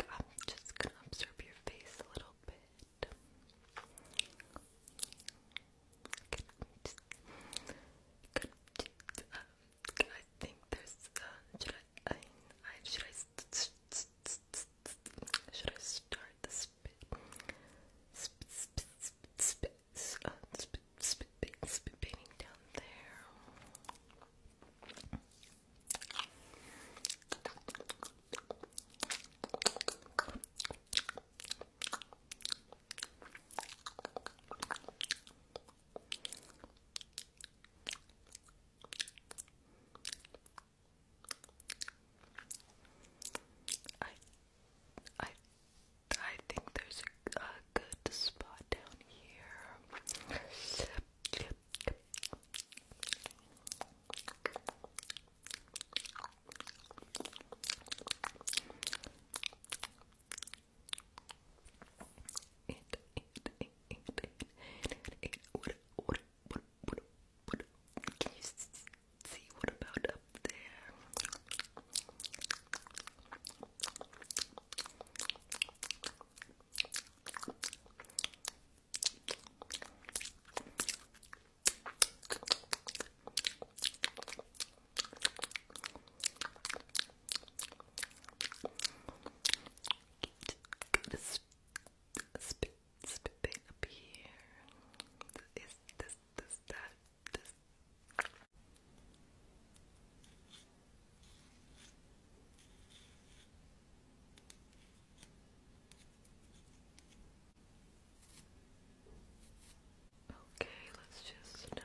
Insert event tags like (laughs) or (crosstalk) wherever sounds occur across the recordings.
I'm just gonna observe your face a little bit. Um, I think there's. Uh, should I? should I? Should I start the spit? Spit, spit, spit, spit, uh, spit, spit, spit, spit painting down there. I I I think there's a, good spot down here it, it, it, it, it, it. What, what, what, what, what? Can you see what about up there? Spit, spit up here. Is this, this, that, this? Okay, let's just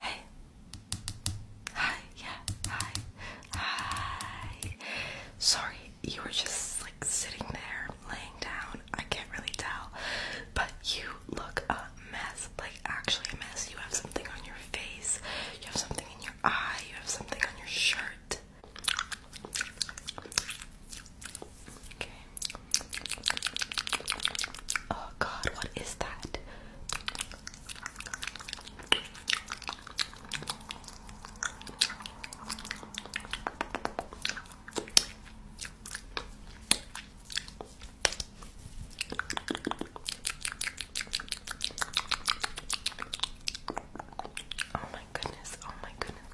Hey. Hi, yeah, hi, hi. Sorry, you were just like sitting there, laying down. I can't really tell. But you look a mess, like actually a mess. You have something on your face, you have something in your eye, you have something on your shirt. Okay. Oh God, what is that? Oh my goodness, oh my goodness.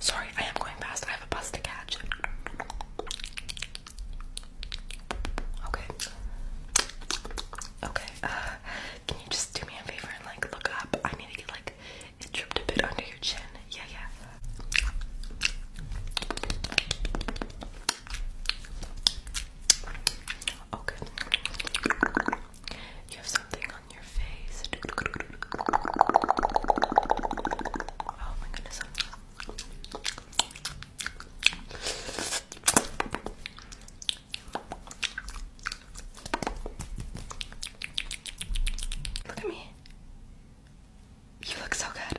Sorry, I am going fast. I have a bus to catch. Okay. Okay. Uh, can you just do me a favor and like look up? I need to get like it dripped a bit under your chin. Yeah, yeah. Okay. You have something on your face. Oh my goodness. Look at me. You look so good.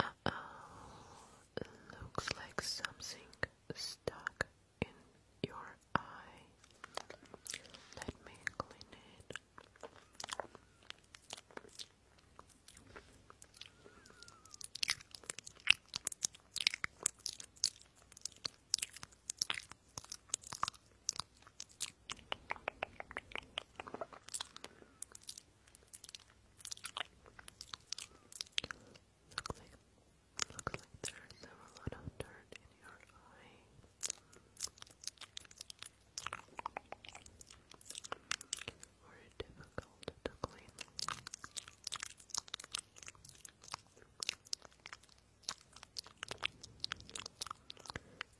Uh oh, looks like something stuck in your eye. Let me clean it. Looks like looks like there's a lot of dirt in your eye or difficult to clean.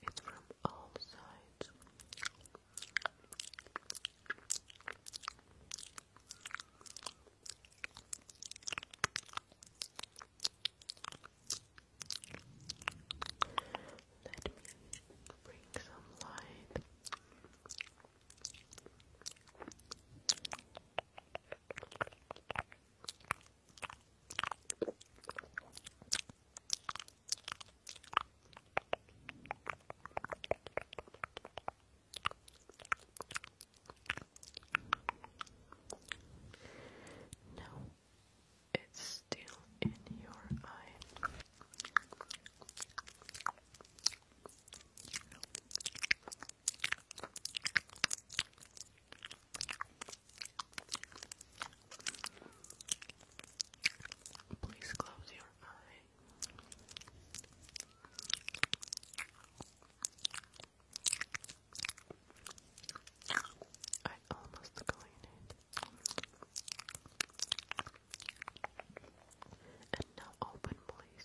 It's from all sides. Let me bring some light. No, it's still in your eye. Please close your eye. I almost clean it. And now open, please.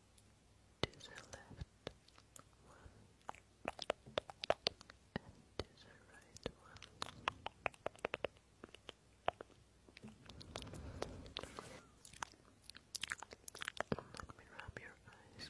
to the left one and to the right one. Let me rub your eyes.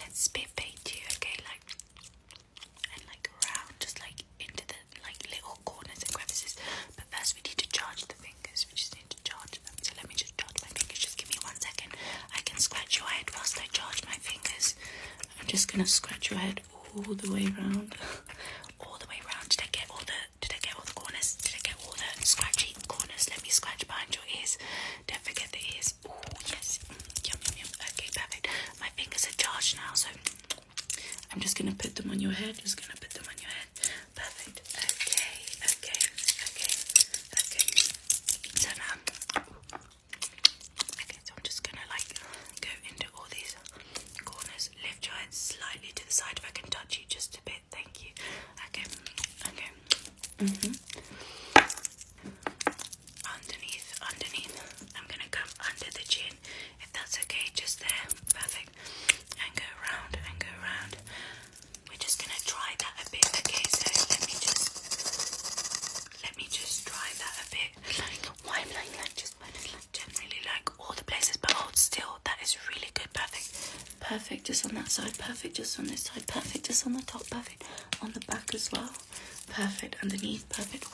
let's spit paint you, okay? Like and like around, just like into the like little corners and crevices. But first we need to charge the fingers. We just need to charge them. So let me just charge my fingers. Just give me one second. I can scratch your head whilst I charge my fingers. I'm just gonna scratch your head all the way around. (laughs) all the way around. Did I get all the did I get all the corners? Did I get all the scratchy? cheek corners. Let me scratch behind your ears. Don't forget the ears. Oh, yes. Mm, yum, yum, yum. Okay, perfect. My fingers are charged now, so I'm just going to put them on your head. Just going to put them on your head. Perfect. Okay, okay, okay, okay. So now, okay, so I'm just going to like go into all these corners. Lift your head slightly to the side if I can touch you just a bit. Thank you. Okay, okay. Mm -hmm. Underneath, underneath. I'm gonna come under the chin, if that's okay. Just there, perfect. And go around and go around. We're just gonna try that a bit, okay? So let me just, let me just try that a bit. why like, like just, like, generally like all the places, but hold oh, still. That is really good, perfect. Perfect just on that side, perfect just on this side, perfect just on the top, perfect on the back as well. Perfect underneath, perfect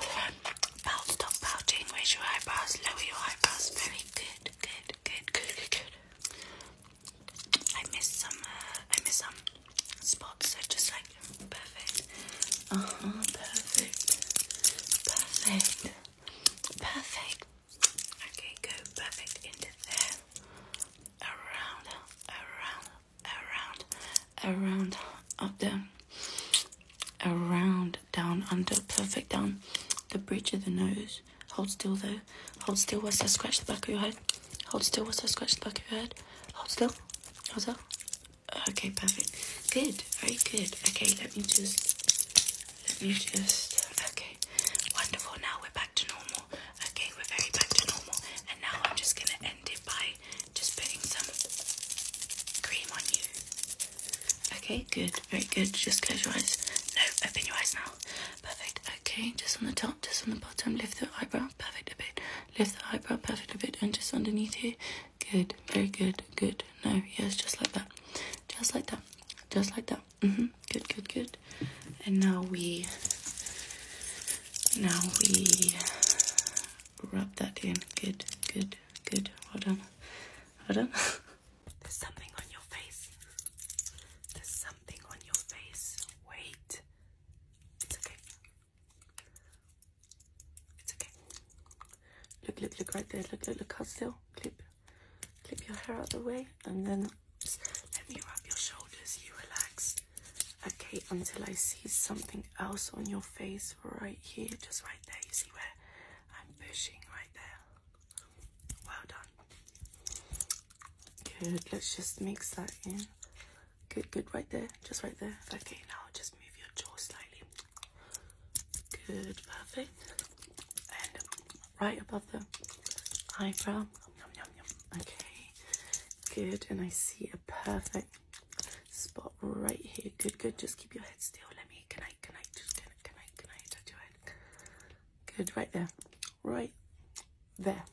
all stop pouting, raise your eyebrows, lower your eyebrows. Very good, good, good, good, good, good. I missed some, uh, I missed some spots, so just like perfect. Uh huh, perfect, perfect, perfect. Okay, go perfect into there around, around, around, around, up down, around, down, under, perfect, down, the bridge of the nose. Hold still though. Hold still whilst I scratch the back of your head. Hold still whilst I scratch the back of your head. Hold still. Hold still. Okay, perfect. Good. Very good. Okay, let me just. Let me just. Okay. Wonderful. Now we're back to normal. Okay, we're very back to normal. And now I'm just gonna end it by just putting some cream on you. Okay, good, very good. Just close your eyes. No, open your eyes now. Perfect. Okay, just on the top, just on the bottom, lift the eyebrow, perfect a bit. Lift the eyebrow, perfect a bit, and just underneath here. Good, very good, good. No, yes, just like that. Just like that. Just like that. Mm -hmm. Good, good, good. And now we now we rub that in. Good, good, good. Hold on. Hold on. (laughs) There's something on your face. There's something on your face. Wait. It's okay. It's okay. Look, look, look right there. Look, look, look how still. Clip, clip your hair out of the way, and then let me rub your shoulders, you relax. Okay, until I see something else on your face right here, just right there. You see where I'm pushing right there. Well done. Good, let's just mix that in. Good, good, right there, just right there. Okay, now just move your jaw slightly. Good, perfect. And right above the eyebrow. Yum, yum, yum. Okay, good. And I see a perfect spot right here. Good, good. Just keep your head still. Let me. Can I? Can I? Just can I? Can I? Can I touch your head? Good. Right there. Right there.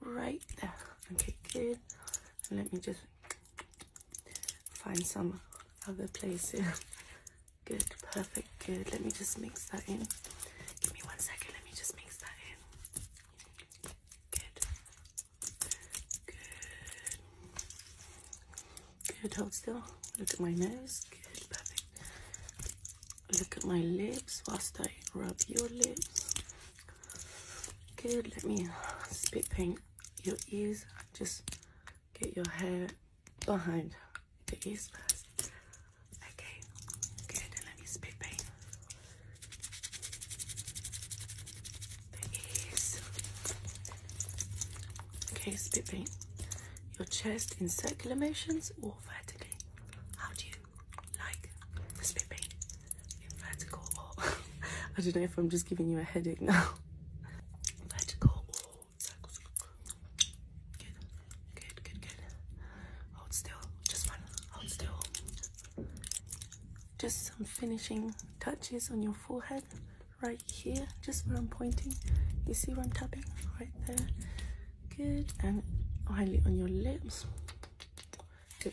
Right there. Okay, good. And let me just find some other place here. (laughs) Good. Perfect good. Let me just mix that in. Give me one second. Let me just mix that in. Good. Good. Good. Hold still. Look at my nose. Good. Perfect. Look at my lips whilst I rub your lips. Good. Let me spit paint your ears. Just get your hair behind the ears first. Okay, good. And let me spit paint the ears. Okay, spit paint your chest in circular motions or vertically. How do you like the spit paint? In vertical or (laughs) I don't know if I'm just giving you a headache now. Vertical or circle, circle, Good, good, good, good. Hold still, just one. Hold still. Just some finishing touches on your forehead, right here, just where I'm pointing. You see where I'm tapping? Right there. Good, and finally on your lips. Good.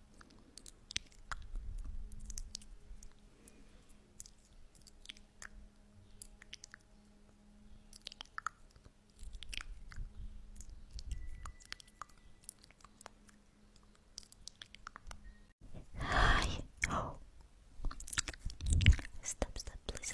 Hi. Oh. Stop, stop, please.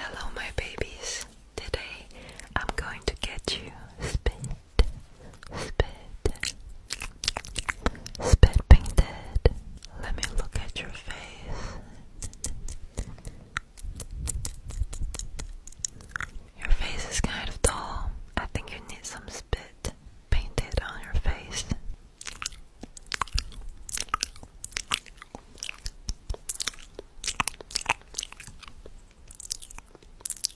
Hello, my babies. Today I'm going to get you spin, spit, spit painted. Let me look at your face. Your face is kind of dull. I think you need some spit painted on your face.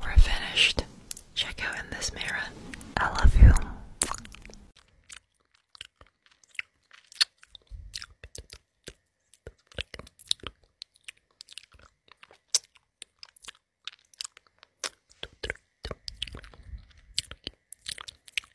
We're finished. Check out in this mirror. I love you.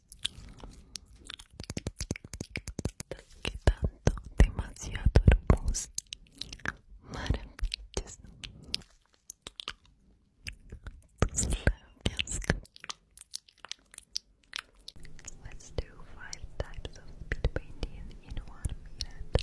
Estás quedando Let's do five types of speed painting in one minute.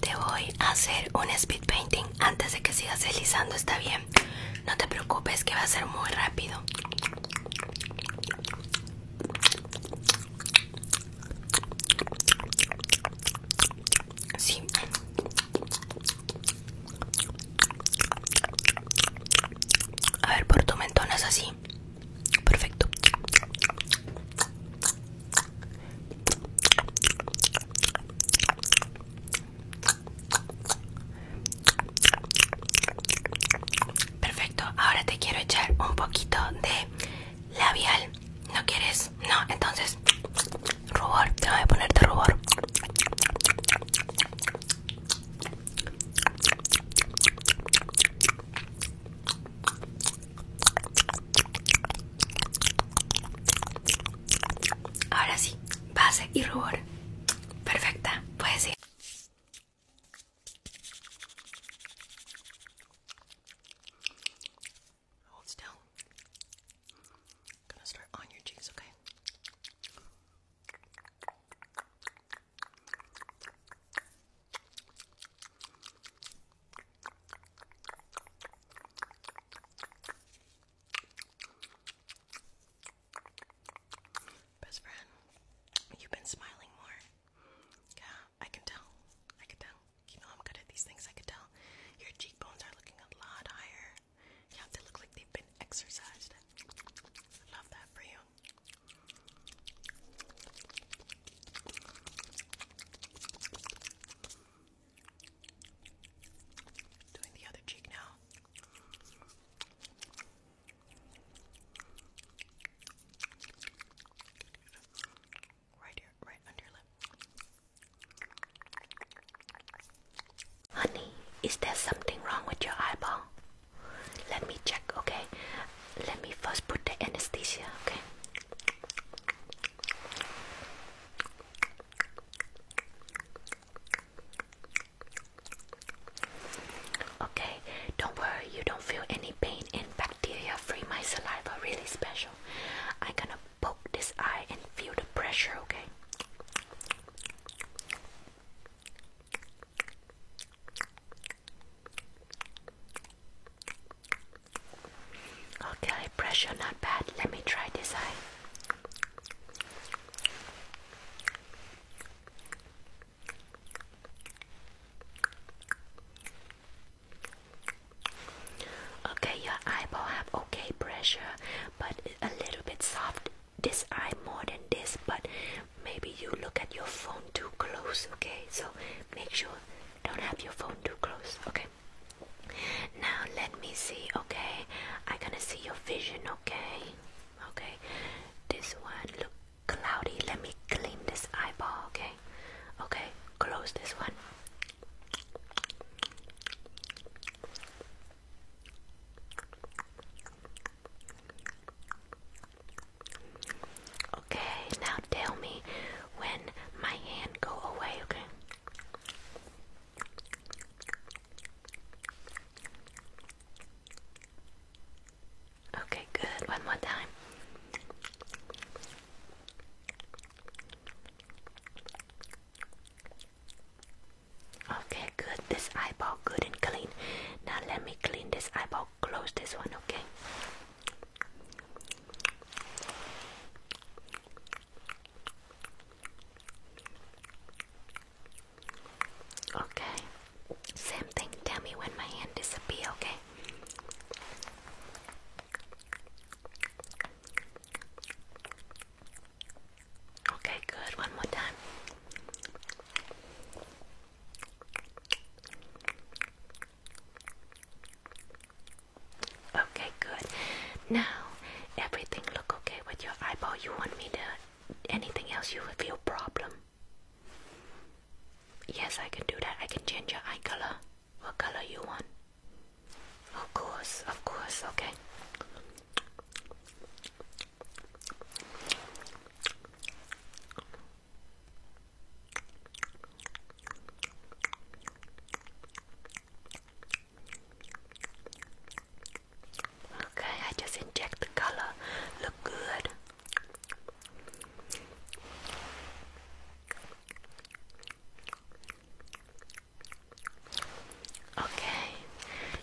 Te voy a hacer un speed painting antes de que sigas deslizando, ¿está bien? no te preocupes que va a ser muy rápido. Sí. A ver, por tu mentón es así. Perfecto. Perfecto, ahora te quiero echar un poquito de labial. ¿No quieres? No, entonces rubor, te voy a ponerte rubor. Ahora sí, base y rubor. Perfecta, puedes Hold still. gonna start on your jeans, okay? Best friend, you've been smiling more. Yeah, I can tell. I can tell. You know I'm good at these things, I can tell. Your cheekbones are looking a lot higher. Yeah, they look like they've been exercised. love that for you. Doing the other cheek now. Right here, right under your lip. Honey, is there something wrong with your eyeball? Let me check, okay? Let me first put the anesthesia, okay? Okay, don't worry, you don't feel any pain in bacteria free. My saliva really special. I'm gonna poke this eye and feel the pressure, okay? Okay, pressure not bad. Let me try this eye. Okay, your eyeball have okay pressure, but a little bit soft. This eye more than this, but maybe you look at your phone too close. Okay, so make sure don't have your phone too close. Okay. Now let me see, okay? I'm gonna see your vision, okay? Okay. This one look cloudy. Let me clean this eyeball, okay? Okay, close this one. Okay, now tell me when my hand go away, okay? Okay, good. One more time. Okay, good. This eyeball good and clean. Now let me clean this eyeball. Close this one, okay? Okay. Same thing. Tell me when my hand disappears, okay? Okay, good. One more time. Okay, good. Now everything look okay with your eyeball. You want me to anything else you have feel problem? Yes, I can do that. I can change your eye color. What color you want? Of course, of course, okay. Okay, I just inject the color. Look good. Okay,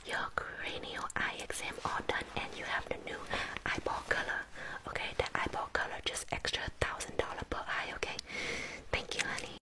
your cranial eye exam all done, and you have the new eyeball color. Okay, the eyeball color just extra thousand dollar per eye. Okay, thank you, honey.